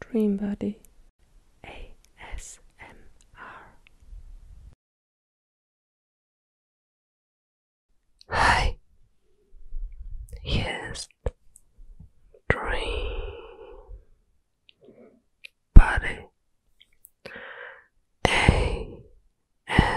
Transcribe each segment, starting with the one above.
Dream Body ASMR. Hi, yes, Dream Body ASMR.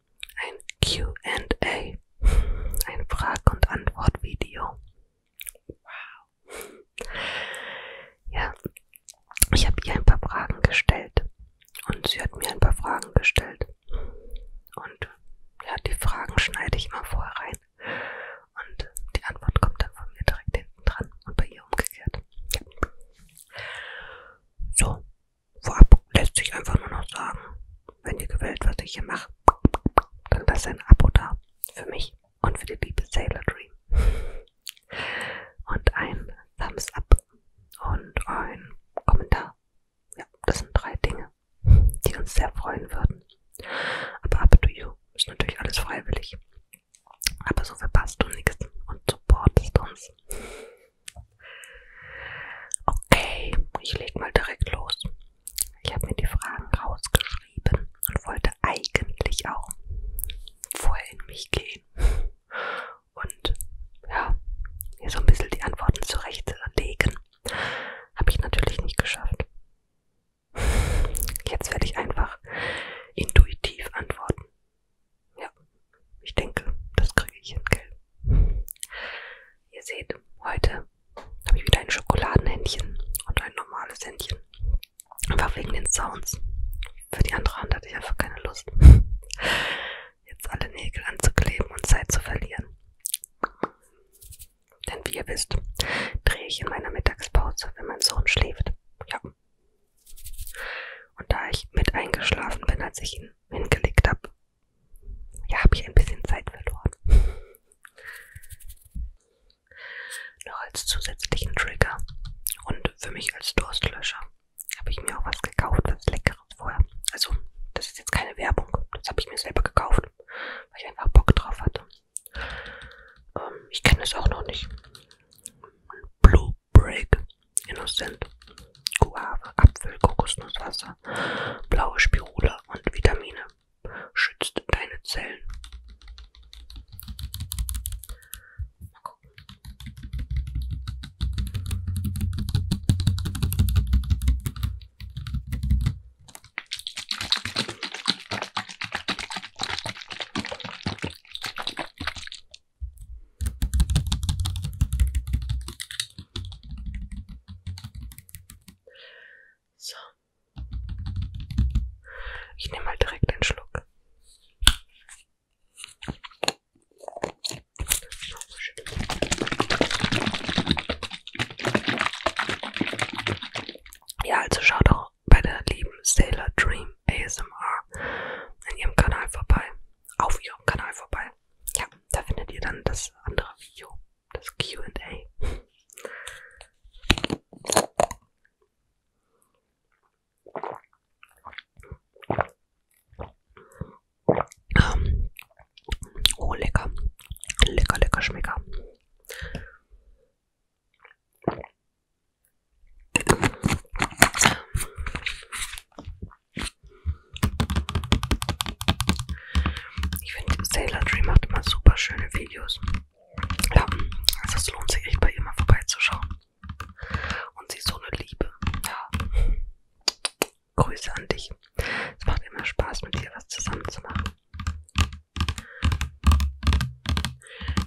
ein QA, ein Frag- und Antwort-Video. Wow. Ja, ich habe ihr ein paar Fragen gestellt und sie hat mir ein paar Fragen gestellt. Und ja, die Fragen schneide ich immer vorher rein und die Antwort kommt dann von mir direkt hinten dran und bei ihr umgekehrt. Ja. So, Vorab lässt sich einfach nur noch sagen, wenn ihr gefällt, was ich hier mache, dann lasst ein Abo da. Für mich und für die liebe Sailor Dream. Und ein Thumbs Up und ein Kommentar. Ja, das sind drei Dinge, die uns sehr freuen würden. Aber up to you. Ist natürlich alles freiwillig. Aber so verpasst du nichts und supportest uns. Okay, ich leg mal direkt los. Ich habe mir die Fragen rausgeschrieben und wollte eigentlich auch vorher in mich gehen und ja, mir so ein bisschen die Antworten zurechtlegen. Habe ich natürlich nicht geschafft. Jetzt werde ich einfach intuitiv antworten. Ja, ich denke, das kriege ich hin, gell? Ihr seht, heute habe ich wieder ein Schokoladenhändchen und ein normales Händchen. Einfach wegen den Sounds. Für die andere Hand hatte ich einfach keine Lust, jetzt alle Nägel anzukleben und Zeit zu verlieren. Denn wie ihr wisst, drehe ich in meiner Mittagspause, wenn mein Sohn schläft. Ja. Und da ich mit eingeschlafen bin, als ich ihn hingelegt habe, ja, habe ich ein bisschen Zeit verloren. Noch als zusätzlichen Trigger und für mich als Durstlöscher habe ich mir auch was gekauft, was Leckeres vorher. Also, das ist jetzt keine Werbung, das habe ich mir selber gekauft, weil ich einfach Bock drauf hatte. Ähm, ich kenne es auch noch nicht. Blue Break, Innocent, Guave, Apfel, Kokosnusswasser, blaue Spirule und Vitamine. Schützt deine Zellen. Mal gucken. So. Ich nehme mal direkt einen Schluck. Ja, also schaut doch bei der lieben Sailor Dream ASMR in ihrem Kanal vorbei. Auf ihrem Kanal vorbei ja, da findet ihr dann das andere Video, das QA. Ähm, oh, lecker. Lecker, lecker, schmecker. Ich finde, Sailor Dream macht immer super schöne Videos. Ja, also es lohnt sich echt bei ihr mal vorbeizuschauen. Und sie ist so eine Liebe. Ja. Grüße an dich. Es macht immer Spaß, mit dir was zusammen zu machen.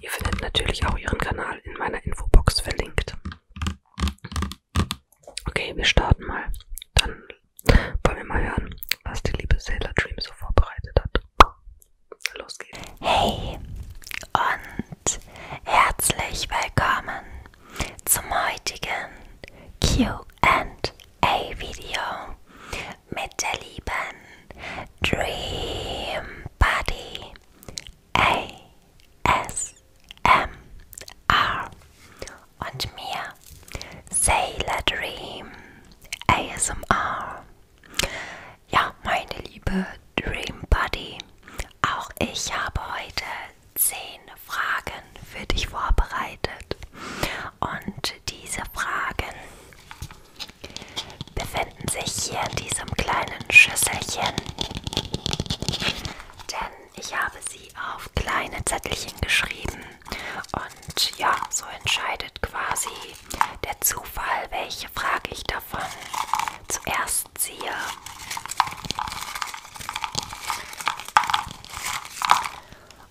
Ihr findet natürlich auch ihren Kanal in meiner Infobox verlinkt. Okay, wir starten mal. Dann wollen wir mal hören, was die liebe Sailor Dream so vorbereitet hat. Los geht's. Hey und herzlich willkommen zum heutigen QA-Video mit der lieben Dream Buddy ASMR und mir Sailor Dream ASMR. Ja, meine liebe Dream Buddy, auch ich habe heute 10 Fragen für dich vorbereitet. Und diese Fragen befinden sich hier in diesem kleinen Schüsselchen. Denn ich habe sie auf kleine Zettelchen geschrieben und ja, so entscheidet quasi der Zufall, welche Frage ich davon zuerst ziehe.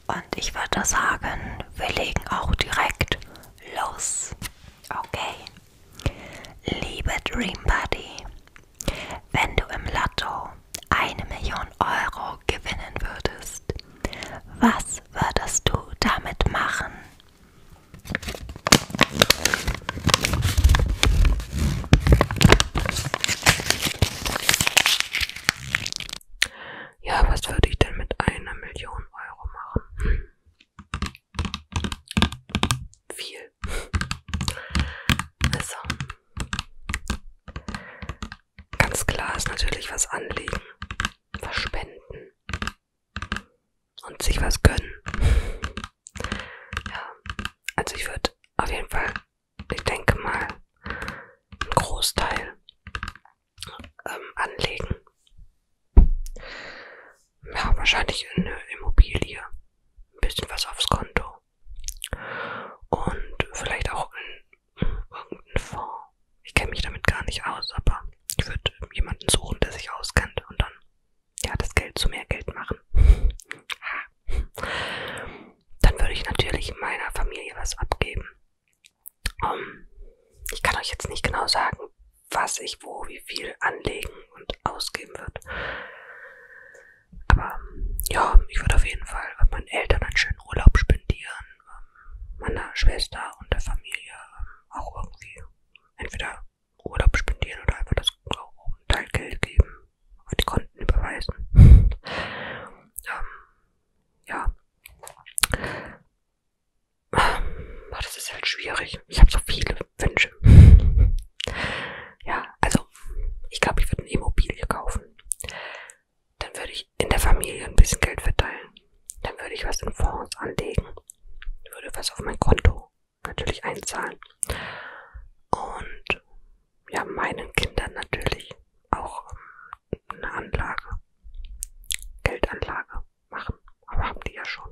Und ich würde sagen, wir legen auch direkt los. Okay. Liebe Dream Buddy, wenn du im Lotto eine Million Euro gewinnen würdest, was würdest du damit machen? Ja, was würde ich denn mit einer Million Euro machen? Hm. Viel. Also, ganz klar ist natürlich was anlegen, was spenden und sich was gönnen. Ja, also ich würde auf jeden Fall, ich denke mal, einen Großteil ähm, anlegen. Ja, wahrscheinlich in eine Immobilie. Ein bisschen was aufs Konto. Und vielleicht auch in irgendeinen Fonds. Ich kenne mich damit gar nicht aus, aber ich würde jemanden suchen, der sich auskennt und dann ja das Geld zu mehr Geld machen. dann würde ich natürlich meiner Familie was abgeben. Um, ähm, ich kann euch jetzt nicht genau sagen, was ich wo, wie viel anlegen und ausgeben wird. Aber ja, ich würde auf jeden Fall meinen Eltern einen schönen Urlaub spendieren, ähm, meiner Schwester und der Familie ähm, auch irgendwie entweder Urlaub spendieren oder einfach das Teil Geld geben auf die Konten überweisen. ähm, ja. Ach, das ist halt schwierig. Ich habe so viele Wünsche. ja, also ich glaube, ich würde eine Immobilie kaufen. Dann würde ich in der Familie ein bisschen Geld verteilen. Dann würde ich was in Fonds anlegen. Würde was auf mein Konto natürlich einzahlen. Und ja, meinen Kindern natürlich auch ähm, eine Anlage, Geldanlage machen. Aber haben die ja schon.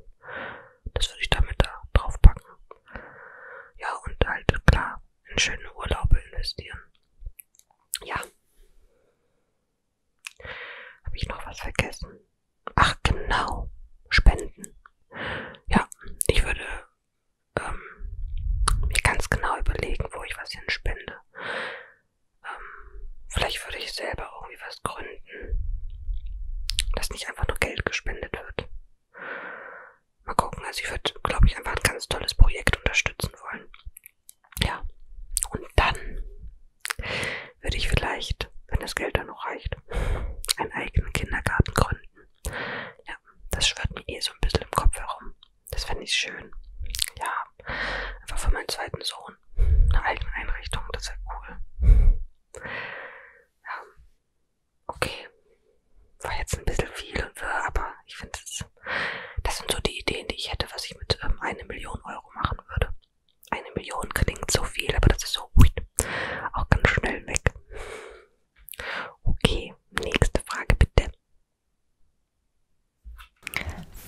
Das würde ich damit da draufpacken. Ja, und halt, klar, in schöne Urlaube investieren. Ja. Habe ich noch was vergessen? Ach genau, Spenden. Ja, ich würde ähm, mir ganz genau überlegen, wo ich was hinspende. Ähm, vielleicht würde ich selber irgendwie was gründen, dass nicht einfach nur Geld gespendet wird. Mal gucken, also ich würde, glaube ich, einfach ein ganz tolles Projekt unterstützen wollen. Ja. Und dann würde ich vielleicht, wenn das Geld dann noch reicht, einen eigenen Kindergarten gründen. Ja, das schwirrt mir eh so ein bisschen im Kopf herum. Das fände ich schön. Ja, einfach für meinen zweiten Sohn. Eine eigene Einrichtung, das wäre cool. Ja. Okay. War jetzt ein bisschen viel und wirr, aber ich finde es. Das sind so die Ideen, die ich hätte, was ich mit ähm, einer Million Euro machen würde. Eine Million klingt so viel, aber das ist so ui, auch ganz schnell weg. Okay, nächste Frage bitte.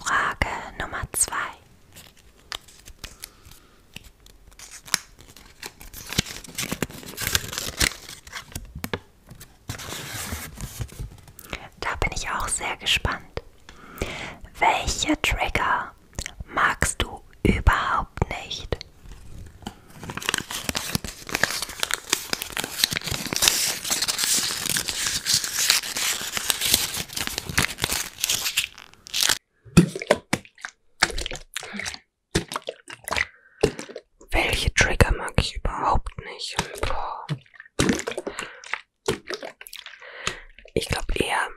Frage Nummer zwei. Da bin ich auch sehr gespannt. Welche Trigger magst du überhaupt nicht? Welche Trigger mag ich überhaupt nicht? Boah. Ich glaube eher,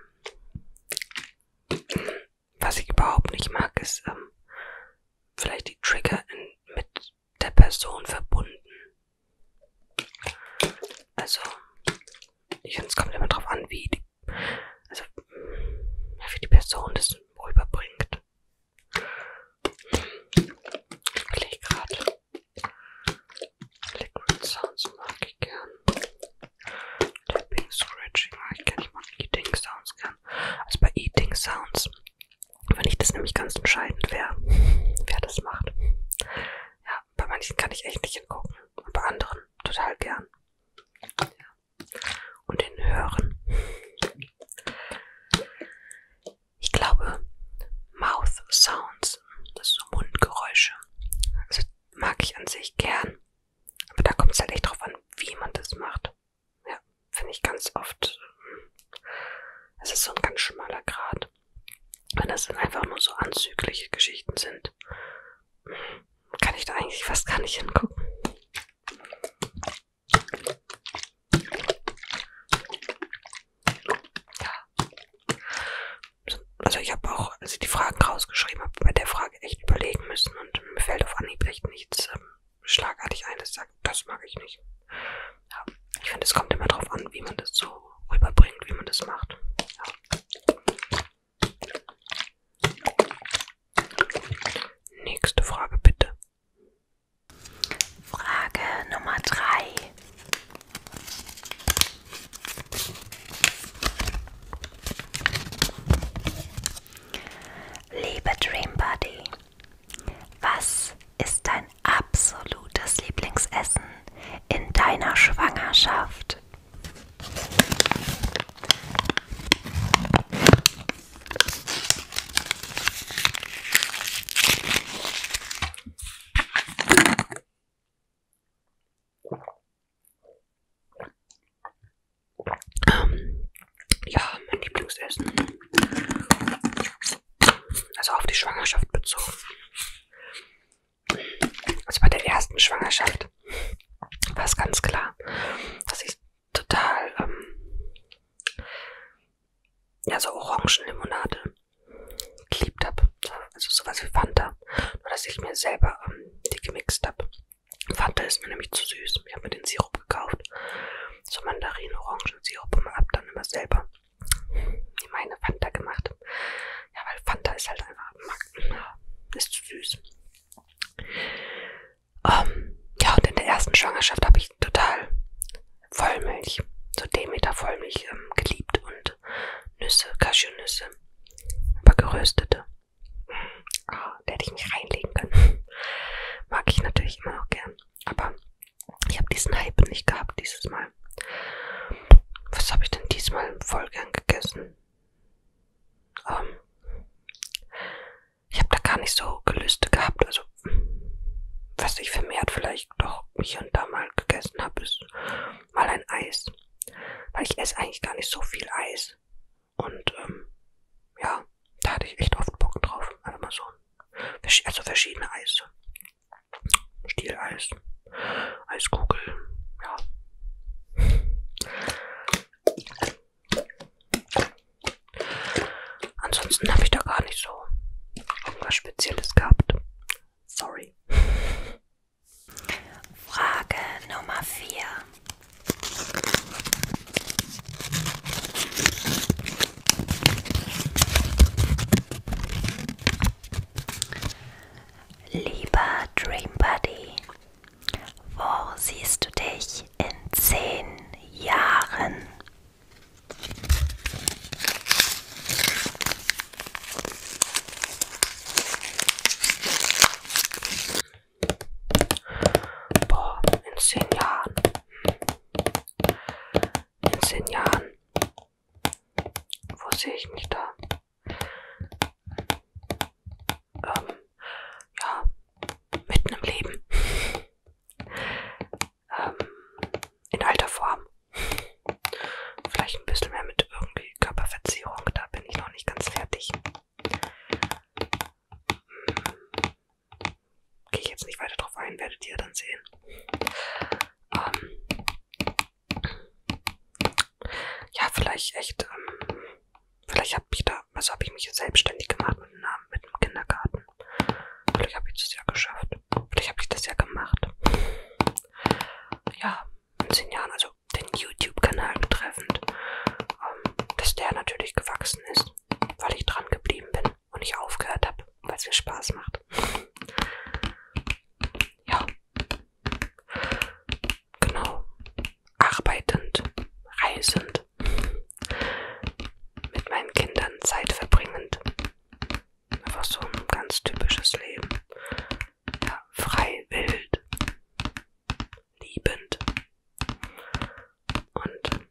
was ich überhaupt nicht mag, ist ähm, vielleicht die Trigger in, mit der Person verbunden. Also, ich finde, es kommt immer drauf an, wie die, also, wie die Person das rüberbringt. Ich überlege gerade. Liquid Sounds mag ich gern. Tapping, Scratching mag ich gern. Ich mag Eating Sounds gern. Also bei Eating Sounds, wenn ich das nämlich ganz entscheidend wäre, wer das macht. Ja, bei manchen kann ich echt nicht hingucken. Und bei anderen total gern. Ja und den Hören. Ich glaube, Mouth Sounds, das ist so Mundgeräusche, also mag ich an sich gern. Aber da kommt es halt echt drauf an, wie man das macht. Ja, finde ich ganz oft. Es ist so ein ganz schmaler Grad. Wenn das dann einfach nur so anzügliche Geschichten sind, kann ich da eigentlich fast gar nicht hingucken. Ja. Also ich habe auch, als ich die Fragen rausgeschrieben habe, bei der Frage echt überlegen müssen und mir fällt auf Anhieb echt nichts ähm, schlagartig ein, das sagt, das mag ich nicht. Ja. Ich finde, es kommt immer drauf an, wie man das so rüberbringt, wie man das macht. Ja. Nächste Frage bitte. Frage Nummer drei. Liebe Dream Buddy, was ist dein absolutes Lieblingsessen in deiner Schwangerschaft? Ähm, ja, mein Lieblingsessen. Also auf die Schwangerschaft bezogen. Also bei der ersten Schwangerschaft war es ganz klar, dass ich total, ähm, ja, so Orangenlimonade geliebt habe. Also sowas wie Fanta. Nur, dass ich mir selber ähm, die gemixt habe. Fanta ist mir nämlich zu süß. Ich habe mir den Sirup gekauft. So Mandarin-Orangensirup und hab dann immer selber die meine Fanta gemacht. Ja, weil Fanta ist halt einfach, ist zu süß. Ähm, ja, und in der ersten Schwangerschaft habe ich total Vollmilch, so Demeter Vollmilch ähm, geliebt und Nüsse, Cashewnüsse, aber geröstete. Ah, da hätte ich mich reinlegen können. Mag ich natürlich immer noch gern. Aber ich habe diesen Hype nicht gehabt dieses Mal. Was habe ich denn diesmal voll gern gegessen? Ähm, ich habe da gar nicht so Gelüste gehabt. Also, was ich vermehrt vielleicht doch hier und da mal gegessen habe, ist mal ein Eis. Weil ich esse eigentlich gar nicht so viel Eis. Und, ähm, ja, da hatte ich echt oft Bock drauf. Also mal so. Also verschiedene Eis. Stieleis. Eiskugel. Ja. Ansonsten habe ich da gar nicht so irgendwas Spezielles gehabt. Sorry. Frage Nummer 4. Lieber Dream Buddy, wo siehst du dich ich in zehn Jahren? Boah, in zehn Jahren. In zehn Jahren. Wo sehe ich mich da? Ähm ja, mitten im Leben. ähm, in alter Form. Vielleicht ein bisschen mehr mit irgendwie Körperverzierung, da bin ich noch nicht ganz fertig. Hm. Gehe ich jetzt nicht weiter drauf ein, werdet ihr dann sehen. Ähm, ja, vielleicht echt ähm, Vielleicht habe ich da, also habe ich mich selbstständig gemacht mit, einer, mit einem Kindergarten. Vielleicht habe ich das ja geschafft. Vielleicht habe ich das ja gemacht. Ja, in zehn Jahren, also den YouTube-Kanal betreffend, ähm, dass der natürlich gewachsen ist, weil ich dran geblieben bin und nicht aufgehört habe, weil es mir Spaß macht. Ja. Genau. Arbeitend, reisend, mit meinen Kindern Zeit verbringend. Einfach so ein ganz typisches Leben. Ja, frei, wild, liebend und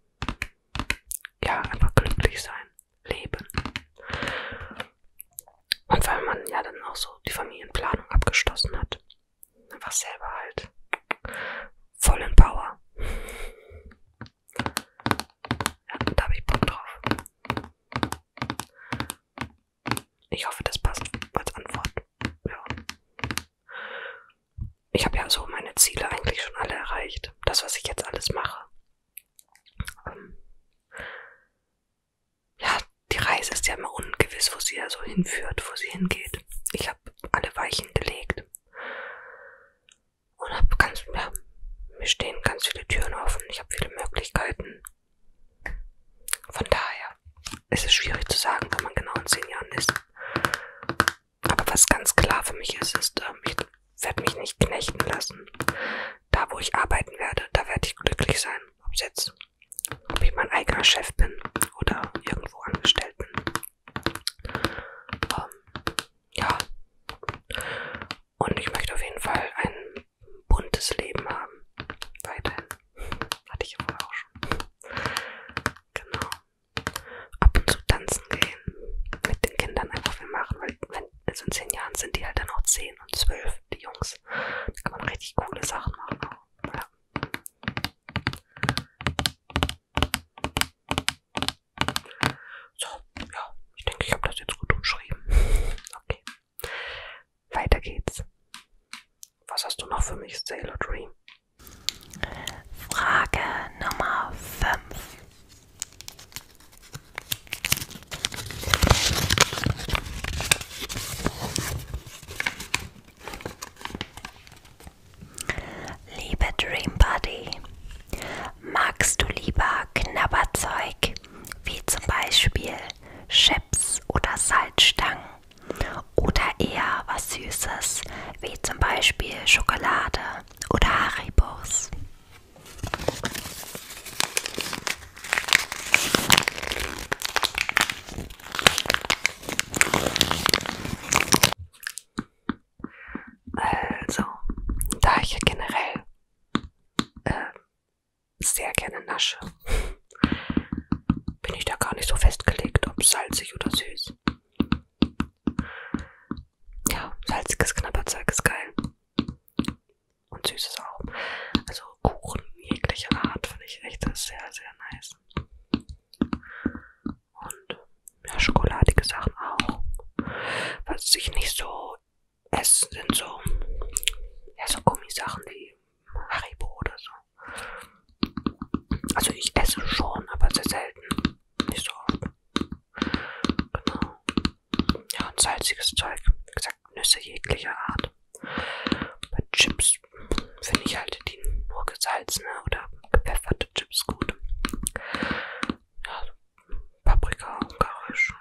ja, einfach glücklich sein, leben. Und weil man ja dann auch so die Familienplanung abgeschlossen hat, einfach selber halt vollen Power. Ja, da habe ich Bock drauf. Ich hoffe, das passt als Antwort. Ja. Ich habe ja so meine Ziele eigentlich schon alle erreicht. Das, was ich jetzt alles mache. Ähm ja, die Reise ist ja immer ungewiss, wo sie ja so hinführt, wo sie hingeht. Ich habe alle Weichen gelegt. Und hab ganz, ja, mir stehen ganz viele Türen offen. Ich habe viele Möglichkeiten. Von daher ist es schwierig zu sagen, wenn man genau in zehn Jahren ist. Aber was ganz klar für mich ist, ist, ähm, ich werde mich nicht knechten lassen. Da, wo ich arbeiten werde, da werde ich glücklich sein. Ob jetzt, ob ich mein eigener Chef bin oder irgendwo angestellt bin. Ähm, ja. Und ich möchte auf jeden Fall ein buntes Leben haben. Weiterhin. Hatte ich ja vorher auch schon. Genau. Ab und zu tanzen gehen. Mit den Kindern einfach viel machen, weil wenn, also in zehn Jahren sind die halt dann auch zehn und zwölf, die Jungs. Da kann man richtig coole Sachen machen. Auch. Ja. So, ja, ich denke, ich habe das jetzt gut umschrieben. Okay. Weiter geht's. Was hast du noch für mich, Sailor Dream? Frage Nummer 5. Liebe Dream Buddy, magst du lieber Knabberzeug wie zum Beispiel Chips oder Salzstangen oder eher was Süßes wie zum Beispiel Schokolade oder Haribos? Also, da ich ja generell äh, sehr gerne nasche, bin ich da gar nicht so festgelegt, ob salzig oder süß. Ja, salziges Knabberzeug ist geil. Und süßes auch. Also Kuchen jeglicher Art finde ich echt sehr, sehr nice. Und ja, schokoladige Sachen auch. Was ich nicht so esse, sind so, ja, so Gummisachen wie Haribo oder so. Also ich esse schon, aber sehr selten. Nicht so oft. Genau. Ja, und salziges Zeug. Wie gesagt, Nüsse jeglicher Art. Bei Chips finde ich halt die nur gesalzene oder gepfefferte Chips gut. Ja, Paprika, ungarisch.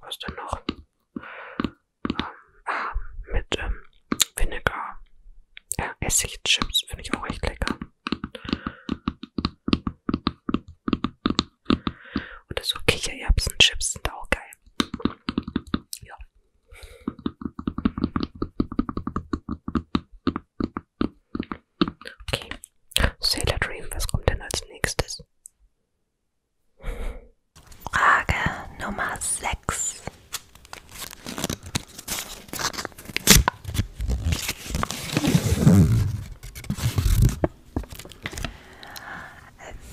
Was denn noch? Ähm, ah, mit ähm, Vinegar. Ja, Essigchips finde ich auch echt lecker. Oder so Kichererbsenchips sind auch geil. Ja. Okay. Sailor Dream, was kommt denn als nächstes? Frage Nummer 6.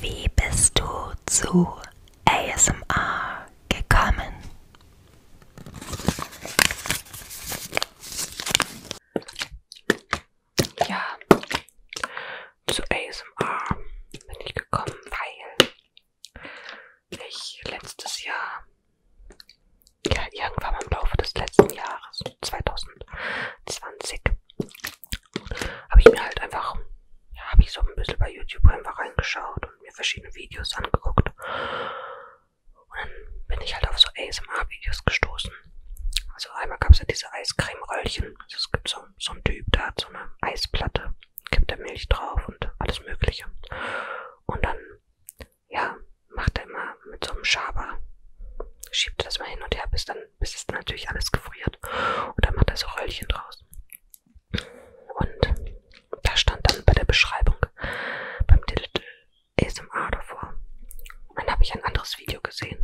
Wie bist du zu ASMR gekommen? Ja, zu ASMR bin ich gekommen, weil ich letztes Jahr, ja irgendwann im Laufe des letzten Jahres, 2020, habe ich mir halt einfach, ja, habe ich so ein bisschen bei YouTube einfach reingeschaut und mir verschiedene Videos angeguckt und dann bin ich halt auf so ASMR-Videos gestoßen. Also einmal gab es ja diese Eiscreme-Röllchen. Also es gibt so, so einen Typ, der hat so eine Eisplatte, gibt da Milch drauf und alles mögliche. Und dann, ja, macht er immer mit so einem Schaber, schiebt das mal hin und her, bis dann, bis es dann natürlich alles gefriert. Und dann macht er so Röllchen draus. Und da stand dann bei der Beschreibung beim Digital ASMR davor. Und dann habe ich ein anderes Video gesehen.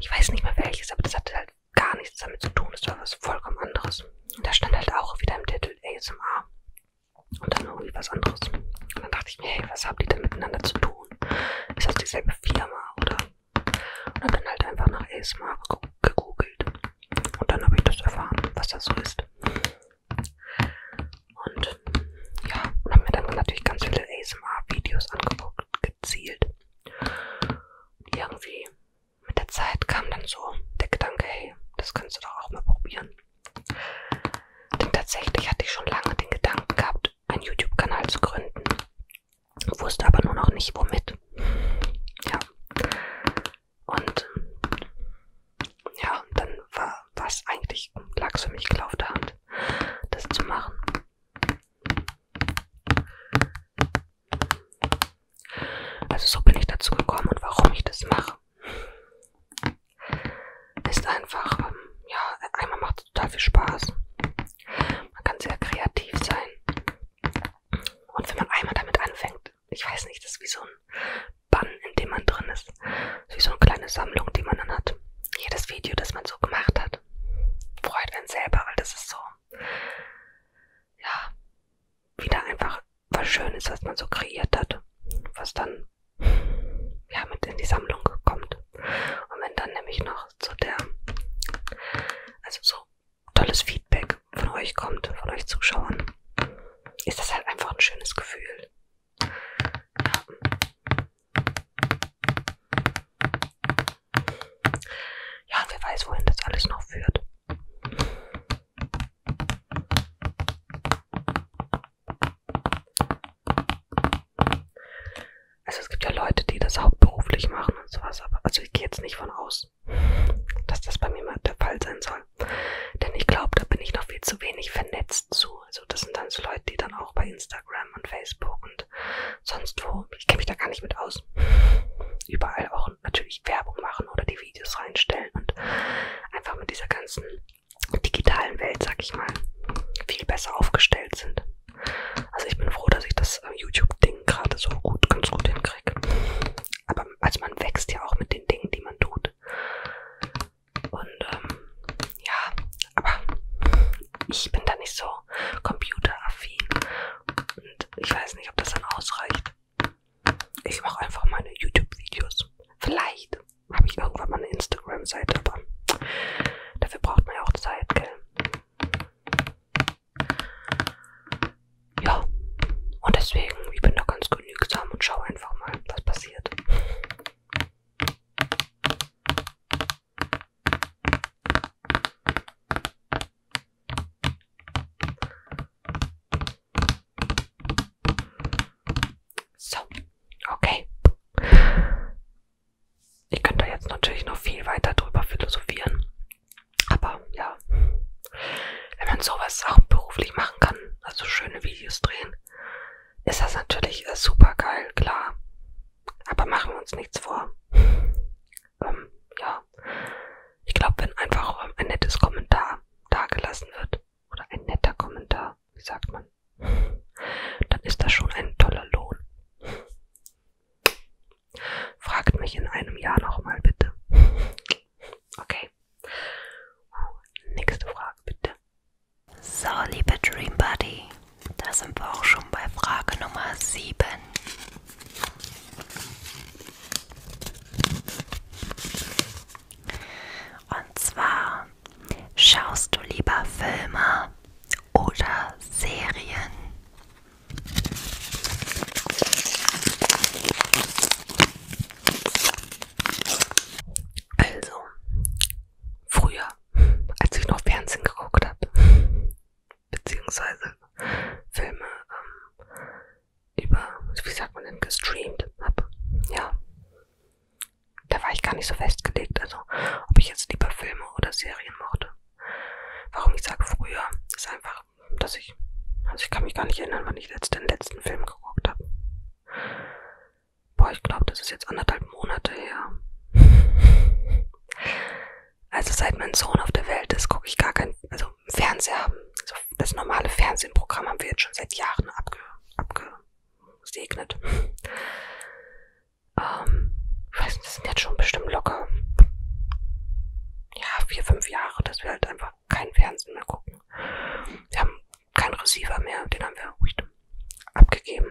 Ich weiß nicht mehr welches, aber das hatte halt gar nichts damit zu tun. Das war was vollkommen anderes. Und da stand halt auch wieder im Titel ASMR. Und dann irgendwie was anderes. Und dann dachte ich mir, hey, was haben die denn miteinander zu tun? Ist das dieselbe Firma oder? Und hab dann halt einfach nach ASMR gegoogelt. Und dann habe ich das erfahren, was das so ist. Und ja, und habe mir dann natürlich ganz viele ASMR-Videos angeguckt, gezielt. Und irgendwie mit der Zeit kam dann so der Gedanke, hey, das kannst du doch auch mal probieren. Denn tatsächlich hatte ich schon lange den Gedanken gehabt, einen YouTube-Kanal zu gründen. Wusste aber nur noch nicht womit. Ja. Und ja, dann war es eigentlich, lag es für mich klar auf der Hand, das zu machen. Also so bin ich dazu gekommen und warum ich das mache. Ist einfach, ähm, ja, einmal macht es total viel Spaß. Man kann sehr kreativ sein. Und wenn man einmal damit anfängt, ich weiß nicht, das ist wie so ein Bann, in dem man drin ist. Das ist wie so eine kleine Sammlung, die man dann hat. Jedes Video, das man so gemacht hat, freut einen selber, weil das ist so, ja, wieder einfach was Schönes, was man so kreiert hat, was dann, ja, mit in die Sammlung kommt. Und wenn dann nämlich noch zu der, also so tolles Feedback von euch kommt, von euch Zuschauern, ist das halt einfach ein schönes Gefühl. Ja. Ja, wer weiß, wohin das alles noch führt. Also es gibt ja Leute, die das hauptberuflich machen und sowas, aber also ich gehe jetzt nicht von aus, dass das bei mir mal der Fall sein soll langsam. Denn ich glaube, da bin ich noch viel zu wenig vernetzt zu. Also das sind dann so Leute, die dann auch bei Instagram und Facebook und sonst wo, ich kenne mich da gar nicht mit aus, überall auch natürlich Werbung machen oder die Videos reinstellen und einfach mit dieser ganzen digitalen Welt, sag ich mal, viel besser aufgestellt sind. Also ich bin froh, dass ich das äh, YouTube-Ding gerade so gut, ganz gut hinkriege. Aber also man wächst ja auch mit den Dingen, die man tut gemacht. Und ähm, ja, aber ich bin da nicht so computeraffin. Und ich weiß nicht, ob das dann ausreicht. Ich mache einfach meine YouTube-Videos. Vielleicht habe ich irgendwann mal eine Instagram-Seite, aber dafür braucht man ja auch Zeit, gell? ja, und deswegen, ich bin da ganz genügsam und schau einfach mal, was passiert. So, okay. Ich könnte jetzt natürlich noch viel weiter drüber philosophieren. Aber ja, wenn man sowas auch beruflich machen kann, also schöne Videos drehen, ist das natürlich äh, super geil, klar. Aber machen wir uns nichts vor. ähm, ja. Ich glaube, wenn einfach ähm, ein nettes Kommentar dagelassen wird, oder ein netter Kommentar, wie sagt man, dann ist das schon ein toller Lohn. Fragt mich in einem Jahr nochmal bitte. Okay. Nächste Frage bitte. So, liebe Dream Buddy, da sind wir auch schon bei Frage Nummer 7. Und zwar, schaust du lieber Filme oder Serien? Also, früher, als ich noch Fernsehen geguckt habe, beziehungsweise Filme ähm, über, wie sagt man denn, gestreamt habe, ja, da war ich gar nicht so festgelegt, also ob ich jetzt lieber Filme oder Serien mochte. Warum ich sage früher, ist einfach, dass ich, also ich kann mich gar nicht erinnern, wann ich den letzten Film gerockt habe. Boah, ich glaube, das ist jetzt anderthalb Monate her. Also seit mein Sohn auf der Welt ist, gucke ich gar kein, also Fernseher haben. Also das normale Fernsehprogramm haben wir jetzt schon seit Jahren abge, abgesegnet. Ähm, ich weiß nicht, das sind jetzt schon bestimmt locker, ja, vier, fünf Jahre, dass wir halt einfach einfach kein Fernsehen mehr gucken. Wir haben keinen Receiver mehr, den haben wir abgegeben.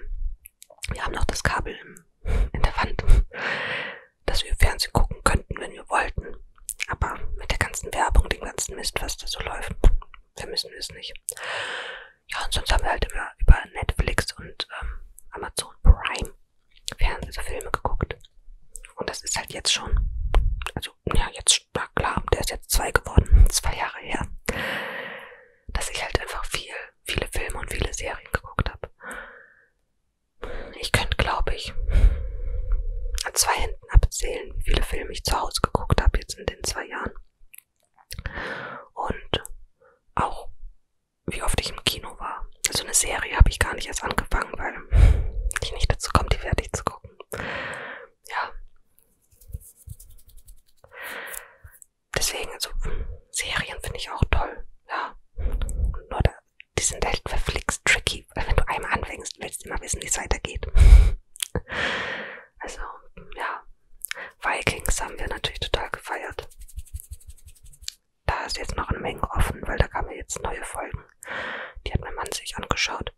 Wir haben noch das Kabel in der Wand, dass wir Fernsehen gucken könnten, wenn wir wollten. Aber mit der ganzen Werbung, dem ganzen Mist, was da so läuft, vermissen wir es nicht. Ja, und sonst haben wir halt immer über Netflix und ähm, Amazon Prime Fernsehfilme geguckt. Und das ist halt jetzt schon, also ja, jetzt Sparkler, der ist jetzt zwei geworden, zwei Jahre her, dass ich halt einfach viel, viele Filme und viele Serien geguckt habe. Ich könnte, glaube ich, an zwei Händen abzählen, wie viele Filme ich zu Hause geguckt habe jetzt in den zwei Jahren. Und auch, wie oft ich im Kino war. Also eine Serie habe ich gar nicht erst angefangen, weil ich nicht dazu komme, die fertig zu gucken ja. Deswegen, so Serien finde ich auch toll, ja. Nur da, die sind echt halt verflixt tricky, weil wenn du einmal anfängst, willst du immer wissen, wie es weitergeht. Also, ja. Vikings haben wir natürlich total gefeiert. Da ist jetzt noch eine Menge offen, weil da kamen jetzt neue Folgen. Die hat mein Mann sich angeschaut.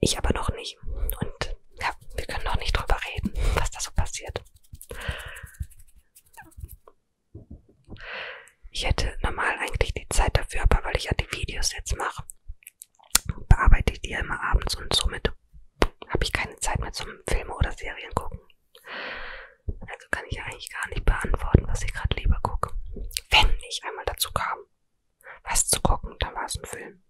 Ich aber noch nicht. Und ja, wir können noch nicht drüber reden, was da so passiert. Ich hätte normal eigentlich die Zeit dafür, aber weil ich ja die Videos jetzt mache, bearbeite ich die ja immer abends und somit habe ich keine Zeit mehr zum Filme oder Serien gucken. Also kann ich ja eigentlich gar nicht beantworten, was ich gerade lieber gucke. Wenn ich einmal dazu kam was zu gucken. Dann war es ein Film.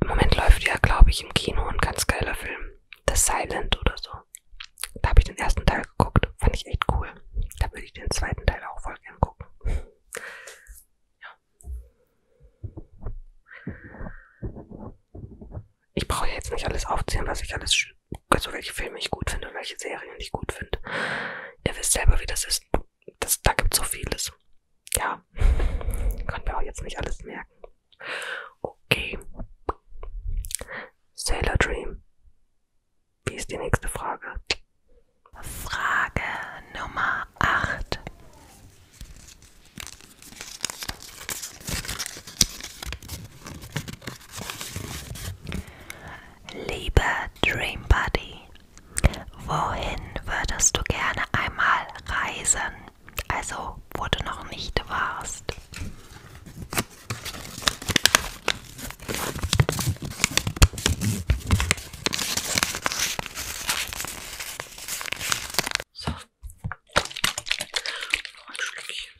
Im Moment läuft ja, glaube ich, im Kino ein ganz geiler Film. The Silent oder so. Da habe ich den ersten Teil geguckt. Fand ich echt cool. Da würde ich den zweiten Teil auch voll gern gucken. Ja. Ich brauche ja jetzt nicht alles aufzählen, was ich alles, also welche Filme ich gut finde und welche Serien ich gut finde. Ihr wisst selber, wie das ist. Das, da gibt so vieles. Ja, können wir auch jetzt nicht alles merken. Okay. Sailor Dream. Wie ist die nächste Frage? Frage Nummer 8. Liebe Dream Buddy, wohin würdest du gerne einmal reisen? Also, wo du noch nicht warst. So noch ein Schlückchen.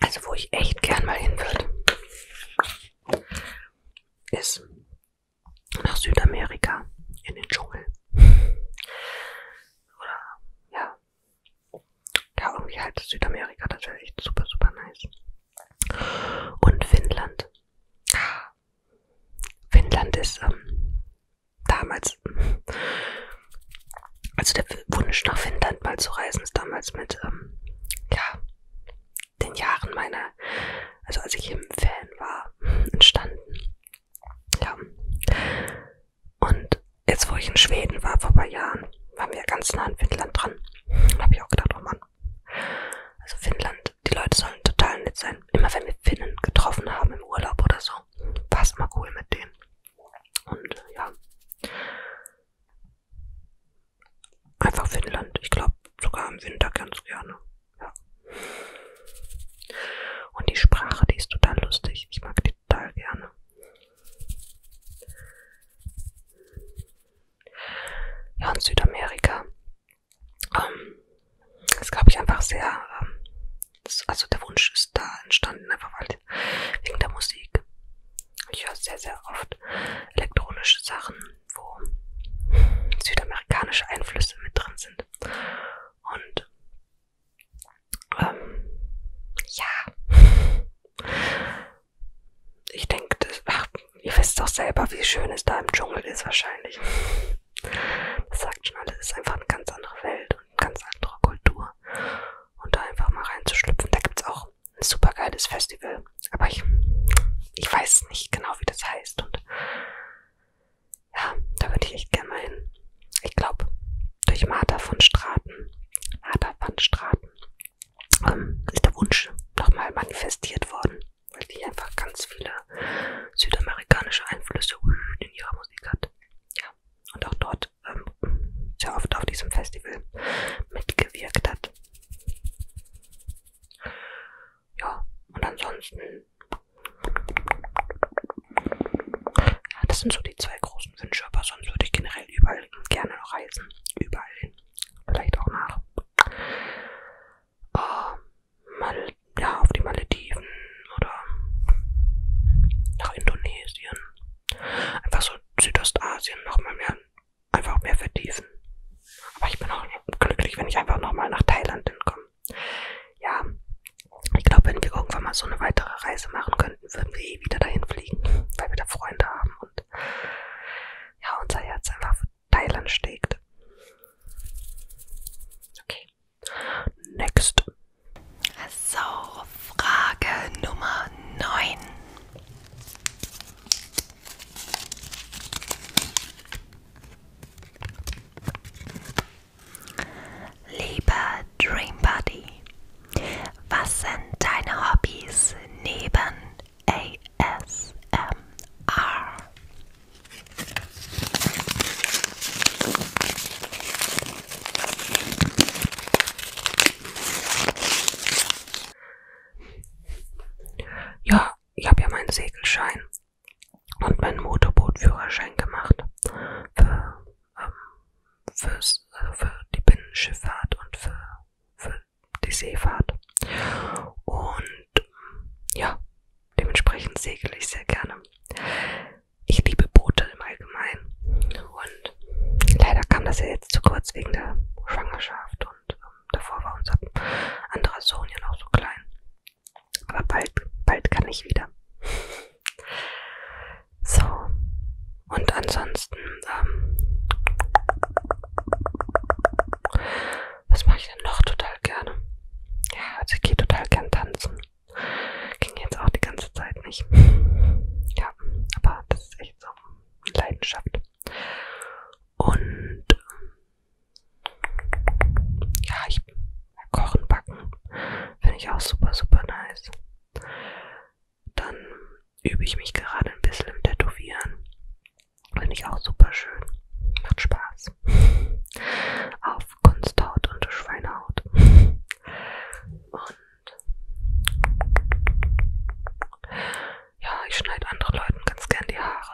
Also wo ich echt gern mal hin würde, ist nach Südamerika in den Dschungel. Oder, ja. Ja, irgendwie halt Südamerika, das wäre echt super, super nice. Und Finnland. Finnland ist ähm, damals, also der Wunsch nach Finnland mal zu reisen, ist damals mit, ähm, ja, den Jahren meiner, also als ich im Fan war, entstanden. Ja. Und jetzt, wo ich in Schweden war vor ein paar Jahren, waren wir ganz nah an Finnland dran. Da habe ich auch gedacht, oh Mann. Also Finnland, die Leute sollen total nett sein. Immer wenn wir Finnen getroffen haben im Urlaub oder so, war es immer cool mit denen. Und ja. Einfach Finnland. Ich glaube sogar im Winter ganz gerne. Ja. Und die Sprache, die ist total lustig. Ich mag die total gerne. Ja, und Südamerika. Ähm, das glaube ich einfach sehr, ähm, das, also der Wunsch ist da entstanden, einfach weil wegen der Musik. Ich höre sehr, sehr oft elektronische Sachen, wo südamerikanische Einflüsse mit drin sind. Und ähm, ja. Ich denke, das, ach, ihr wisst doch selber, wie schön es da im Dschungel ist wahrscheinlich. Das sagt schon alles, es ist einfach eine ganz andere Welt und eine ganz andere Kultur. Und da einfach mal reinzuschlüpfen, da gibt's auch ein super geiles Festival. Aber ich, ich weiß nicht genau, wie das heißt. Und ja, da würde ich echt gerne mal hin. Ich glaube, durch Martha von Straten, Martha von Straten, ähm, ist der Wunsch nochmal manifestiert worden, weil die einfach ganz viele südamerikanische Einflüsse in ihrer Musik hat. Ja, und auch dort ähm, sehr oft auf diesem Festival mitgewirkt hat. Ja, und ansonsten ja, das sind so die zwei großen Wünsche, aber sonst würde ich generell überall gerne noch reisen. Überall hin. Vielleicht auch nach. Uh, mal, ja, auf die Malediven oder nach Indonesien. Einfach so Südostasien nochmal mehr, einfach mehr vertiefen. Aber ich bin auch glücklich, wenn ich einfach nochmal nach Thailand hinkomme. Ja, ich glaube, wenn wir irgendwann mal so eine weitere Reise machen könnten, würden wir eh wieder dahin fliegen, weil wir da Freunde haben und ja, unser Herz einfach für Thailand schlägt. Okay. Next. So, Frage Nummer 9. Lieber Dream Buddy, was sind deine Hobbys neben ASMR? Ja, ich habe ja meinen Segelschein und meinen Motorbootführerschein gemacht. Für ähm, fürs, also für die Binnenschifffahrt und für, für die Seefahrt. Und ja, dementsprechend segel ich sehr gerne. Ich liebe Boote im Allgemeinen. Und leider kam das ja jetzt zu kurz wegen der Schwangerschaft und ähm, davor war unser anderer Sohn ja noch so klein. Aber bald, bald kann ich wieder. So. Und ansonsten, ähm, was mache ich denn noch total gerne? Ja, also ich gehe total gern tanzen. Ging jetzt auch die ganze Zeit nicht. Ja, aber das ist echt so Leidenschaft. Und ja, ich Kochen, Backen. Finde ich auch super, super nice. Dann übe ich mich gerade ein bisschen im Tätowieren. Finde ich auch super schön. Macht Spaß. Auf Kunsthaut und Schweinehaut. Und ja, ich schneide anderen Leuten ganz gern die Haare.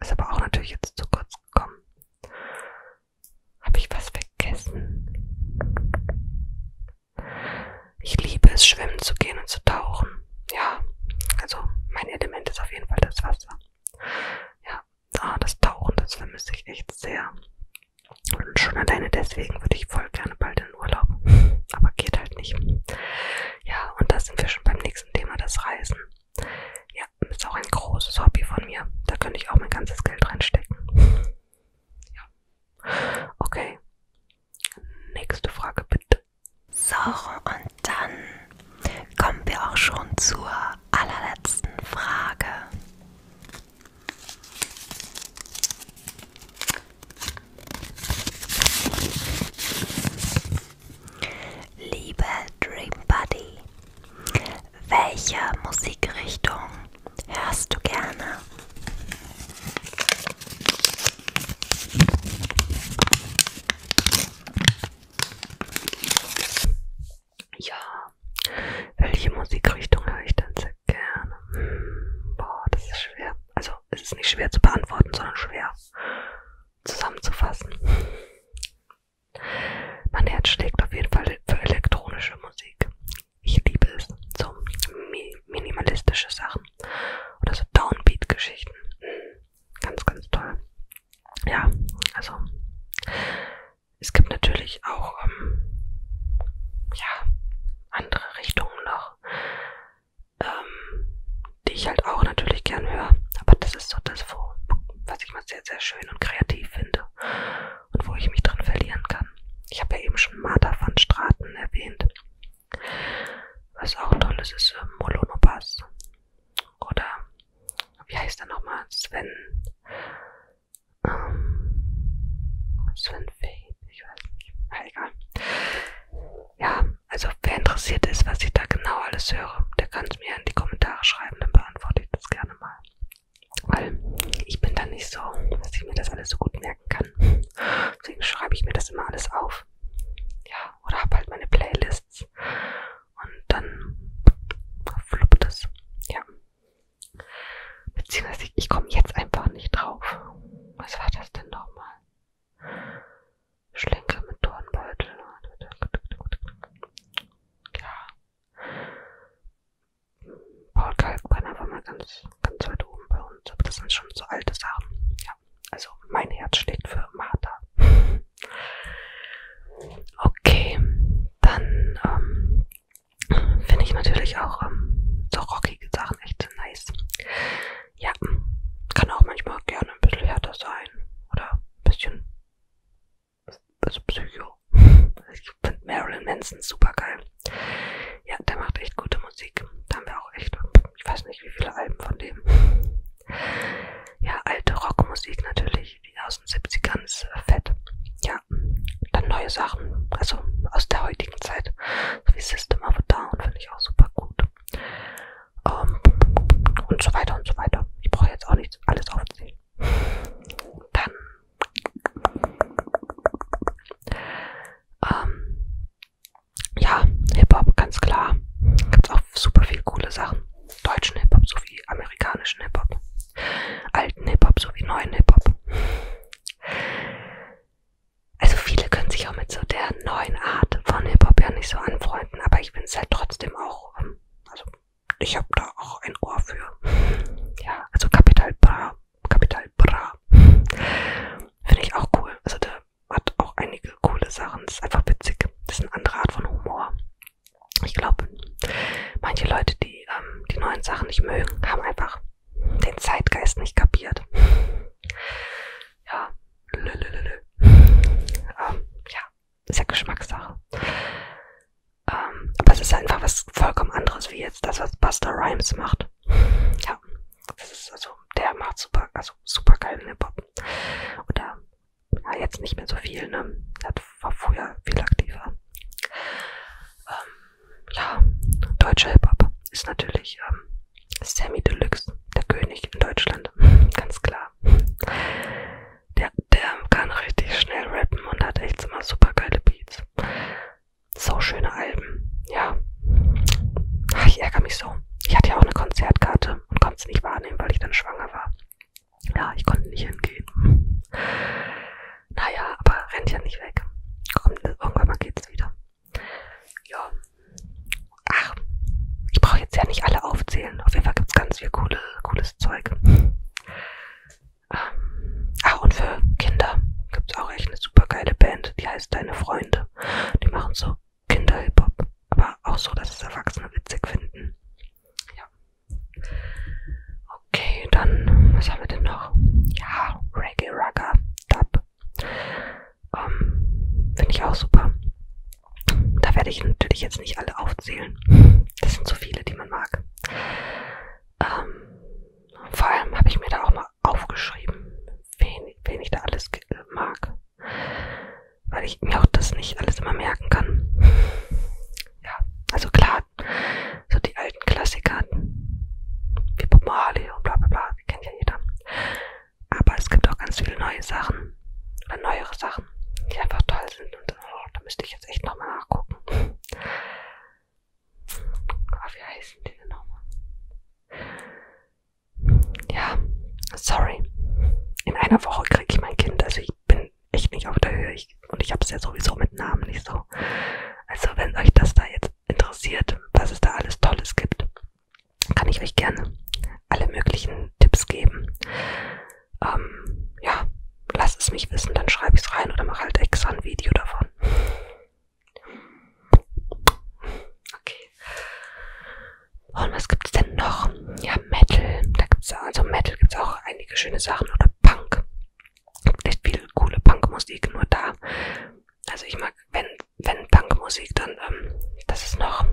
Ist aber auch natürlich jetzt zu kurz gekommen. Habe ich was vergessen? Ich liebe es, schwimmen zu gehen und zu tauchen. Ja, also mein Element ist auf jeden Fall das Wasser. Ja, ah, das Tauchen, das vermisse ich echt sehr. Und schon alleine deswegen würde ich voll gerne bald in Urlaub. Aber geht halt nicht. Ja, und da sind wir schon beim nächsten Thema, das Reisen. Ja, ist auch ein großes Hobby von mir. Da könnte ich auch mein ganzes Geld reinstecken. Ja. Okay. Nächste Frage bitte. So, und dann kommen wir auch schon zur allerletzten Frage. Liebe Dream Buddy, welche Musikrichtung hörst du gerne? Ja, welche Musikrichtung höre ich denn sehr gerne? Hm, boah, das ist schwer. Also, es ist nicht schwer zu beantworten, sondern schwer zusammenzufassen. Mein Herz schlägt auf jeden Fall für elektronische Musik. Ich liebe es. So mi minimalistische Sachen. Oder so Downbeat-Geschichten. Ganz, ganz toll. Ja, also es gibt natürlich auch ähm, ja, andere Richtungen noch, ähm, die ich halt auch natürlich gern höre. Aber das ist so das, was ich mal sehr, sehr schön und kreativ finde und wo ich mich drin verlieren kann. Ich habe ja eben schon Martha van Straten erwähnt. Was auch toll ist, ist äh, Molonopas. Oder wie heißt er nochmal? Sven. Ähm, Sven Fade, ich weiß nicht. Na, egal. Ja, also wer interessiert ist, was ich da genau alles höre, der kann es mir in die Kommentare schreiben, dann beantworte ich das gerne mal. Weil ich bin dann nicht so, dass ich mir das alles so gut merken kann. Deswegen schreibe ich mir das immer alles auf. Ja, oder habe halt meine Playlists. Und dann fluppt es. Ja. Beziehungsweise ich, ich komme jetzt einfach nicht drauf. Was war das denn nochmal? Schlenker mit Dornbeutel. Ja. Paul Kalkbrenner war mal ganz, ganz weit oben bei uns, aber das sind schon so alte Sachen. Ja, also mein Herz schlägt für Martha. okay, dann ähm, finde ich natürlich auch ähm, so rockige Sachen echt nice. Ja, kann auch manchmal gerne ein bisschen härter sein oder ein bisschen also Psycho. Ich finde Marilyn Manson super geil. Ja, der macht echt gute Musik. Da haben wir auch echt, ich weiß nicht, wie viele Alben von dem. Ja, alte Rockmusik natürlich, die aus den 70ern ist äh, fett. Ja, dann neue Sachen, also aus der heutigen Zeit, so wie System of a Down, finde ich auch super gut. Um, ähm, und so weiter und so weiter. Ich brauche jetzt auch nicht alles aufzählen dann ähm, ja, Hip-Hop, ganz klar. Gibt's auch super viel coole Sachen. Deutschen Hip-Hop sowie amerikanischen Hip-Hop. Alten Hip-Hop sowie neuen Hip-Hop. Also viele können sich auch mit so der neuen Art von Hip-Hop ja nicht so anfreunden, aber ich finde es halt trotzdem auch, ähm, also ich habe da auch ein Ohr für. Ja, also Capital Bra. Capital Bra. Finde ich auch cool. Also der hat auch einige coole Sachen. Das ist einfach witzig. Das ist eine andere Art von Humor. Ich glaube, manche Leute, die ähm, die neuen Sachen nicht mögen, haben einfach den Zeitgeist nicht kapiert. Ja, lülülülü. Ähm, ja, ist ja Geschmackssache. Ähm, aber es ist einfach was vollkommen anderes wie jetzt das, was Buster Rhymes macht. Ja, das ist also, der macht super, also super geilen Hip-Hop. Oder ja, jetzt nicht mehr so viel, ne? Das war früher viel aktiver. Ähm, ja, deutscher Hip-Hop ist natürlich ähm, Sammy Deluxe, der König in Deutschland, ganz klar. Der der kann richtig schnell rappen und hat echt immer super geile Beats. So schöne Alben, ja. Ach, ich ärgere mich so. Ich hatte ja auch eine Konzertkarte und konnte es nicht wahrnehmen, weil ich dann schwanger war. Ja, ich konnte nicht hingehen. Naja, aber rennt ja nicht weg. Kommt, irgendwann mal geht's wieder. Ja. Ach, ich brauche jetzt ja nicht alle aufzählen. Auf jeden Fall gibt's ganz viel coole, cooles Zeug. Ähm, ah, und für Kinder gibt es auch echt eine super geile Band, die heißt Deine Freunde. Die machen so Kinder-Hip-Hop, aber auch so, dass es Erwachsene witzig finden. Ja. Okay, dann, was haben wir denn noch? Ja, Reggae Rugger, Dub. Ähm, Finde ich auch super. Da werde ich natürlich jetzt nicht alle aufzählen. Das sind so viele, die man mag. Ähm, vor allem habe ich mir da auch mal aufgeschrieben, wen, wen ich da alles mag. Weil ich mir auch das nicht alles immer merken kann. Ja, also klar, so die alten Klassiker wie Bob Marley und bla bla bla, die kennt ja jeder. Aber es gibt auch ganz viele neue Sachen oder neuere Sachen, die einfach toll sind und oh, da müsste ich jetzt echt nochmal nachgucken. Oh, wie heißen die denn nochmal? Ja, sorry. In einer Woche kriege ich mein Kind. Also ich bin echt nicht auf der Höhe. Ich, und ich habe es ja sowieso mit Namen nicht so. Also wenn euch das da jetzt interessiert, was es da alles Tolles gibt, kann ich euch gerne alle möglichen Tipps geben ähm, ja, lass es mich wissen, dann schreibe ich es rein oder mache halt extra ein Video davon. Okay. Und was gibt's denn noch? Ja, Metal. Da gibt's also Metal gibt's auch einige schöne Sachen oder Punk. Gibt echt viel coole Punkmusik, nur da. Also ich mag, wenn, wenn Punkmusik, dann, ähm, das ist noch,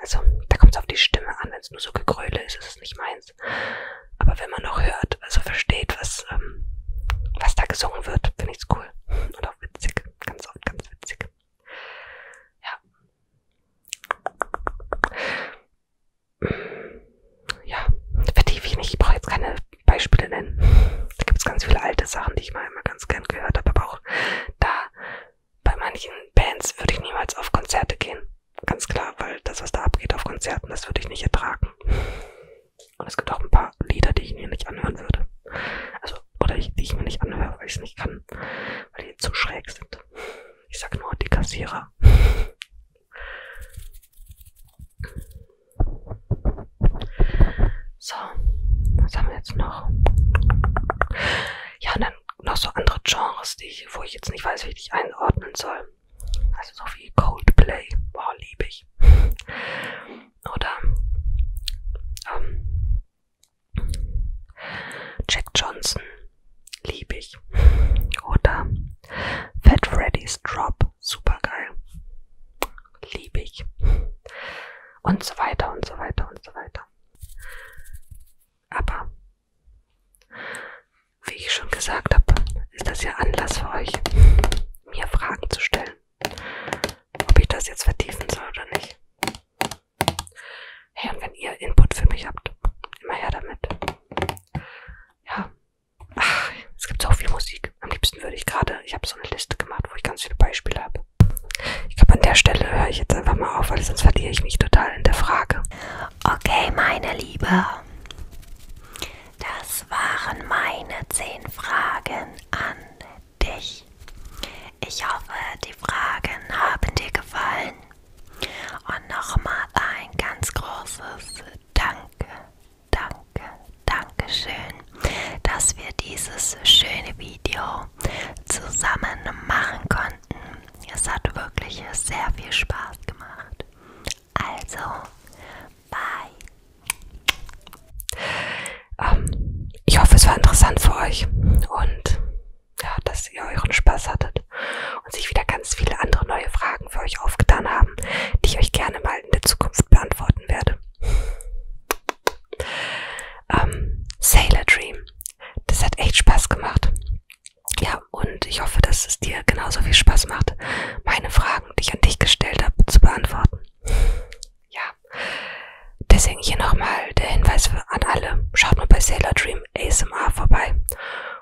also da kommt es auf die Stimme an. Wenn es nur so Gegröle ist, ist es nicht meins heißt. Aber wenn man noch hört, also versteht, was, ähm, was da gesungen wird, finde ich's cool. Und auch witzig. Ganz oft ganz witzig. Ja. Ja, vertiefe ich nicht. Ich brauche jetzt keine Beispiele nennen. Da gibt es ganz viele alte Sachen, die ich mal immer ganz gern gehört habe. Aber auch da, bei manchen Bands würde ich niemals auf Konzerte gehen. Ganz klar, weil das, was da abgeht auf Konzerten, das würde ich nicht ertragen. Und es gibt auch ein paar Lieder, die ich mir nicht anhören würde. Also, oder ich, die ich mir nicht anhöre, weil ich es nicht kann. Weil die zu schräg sind. Ich sag nur die Kassierer. So, was haben wir jetzt noch? Ja, und dann noch so andere Genres, die ich, wo ich jetzt nicht weiß, wie ich dich einordnen soll. Also so wie Coldplay. Boah, liebe ich. Oder ähm, Jack Johnson. Liebe ich. Oder Fat Freddy's Drop. Super geil. Liebe ich. Und so weiter und so weiter und so weiter. Aber wie ich schon gesagt habe, ist das ja Anlass für euch, mir Fragen zu stellen. Ob ich das jetzt vertiefen soll oder nicht. Hey, und wenn ihr Input für mich habt, immer her damit. Ja. Ach, es gibt so viel Musik. Am liebsten würde ich gerade, ich habe so eine Liste gemacht, wo ich ganz viele Beispiele habe. Ich glaube, an der Stelle höre ich jetzt einfach mal auf, weil sonst verliere ich mich total in der Frage. Okay, meine Liebe. Das waren meine zehn Fragen an dich. Ich hoffe, die Fragen haben dir gefallen. Und nochmal ein ganz großes Danke, Danke, Dankeschön, dass wir dieses schöne Video zusammen machen konnten. Es hat wirklich sehr viel Spaß gemacht. Also, bye. Ähm, ich hoffe, es war interessant für euch und ja, dass ihr euren Spaß hattet und sich wieder ganz viele andere neue Fragen für euch aufgetan haben, die ich euch gerne mal in der Zukunft beantworten werde. Ähm, Sailor Dream. Das hat echt Spaß gemacht. Ja, und ich hoffe, dass es dir genauso viel Spaß macht, meine Fragen, die ich an dich gestellt habe, zu beantworten. Ja, deswegen hier nochmal der Hinweis an alle. Schaut mal bei Sailor Dream ASMR vorbei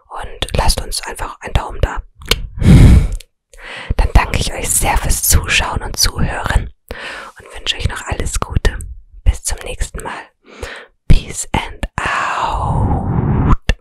und lasst uns einfach einen Daumen da. Dann danke ich euch sehr fürs Zuschauen und Zuhören und wünsche euch noch alles Gute. Bis zum nächsten Mal. Peace and out.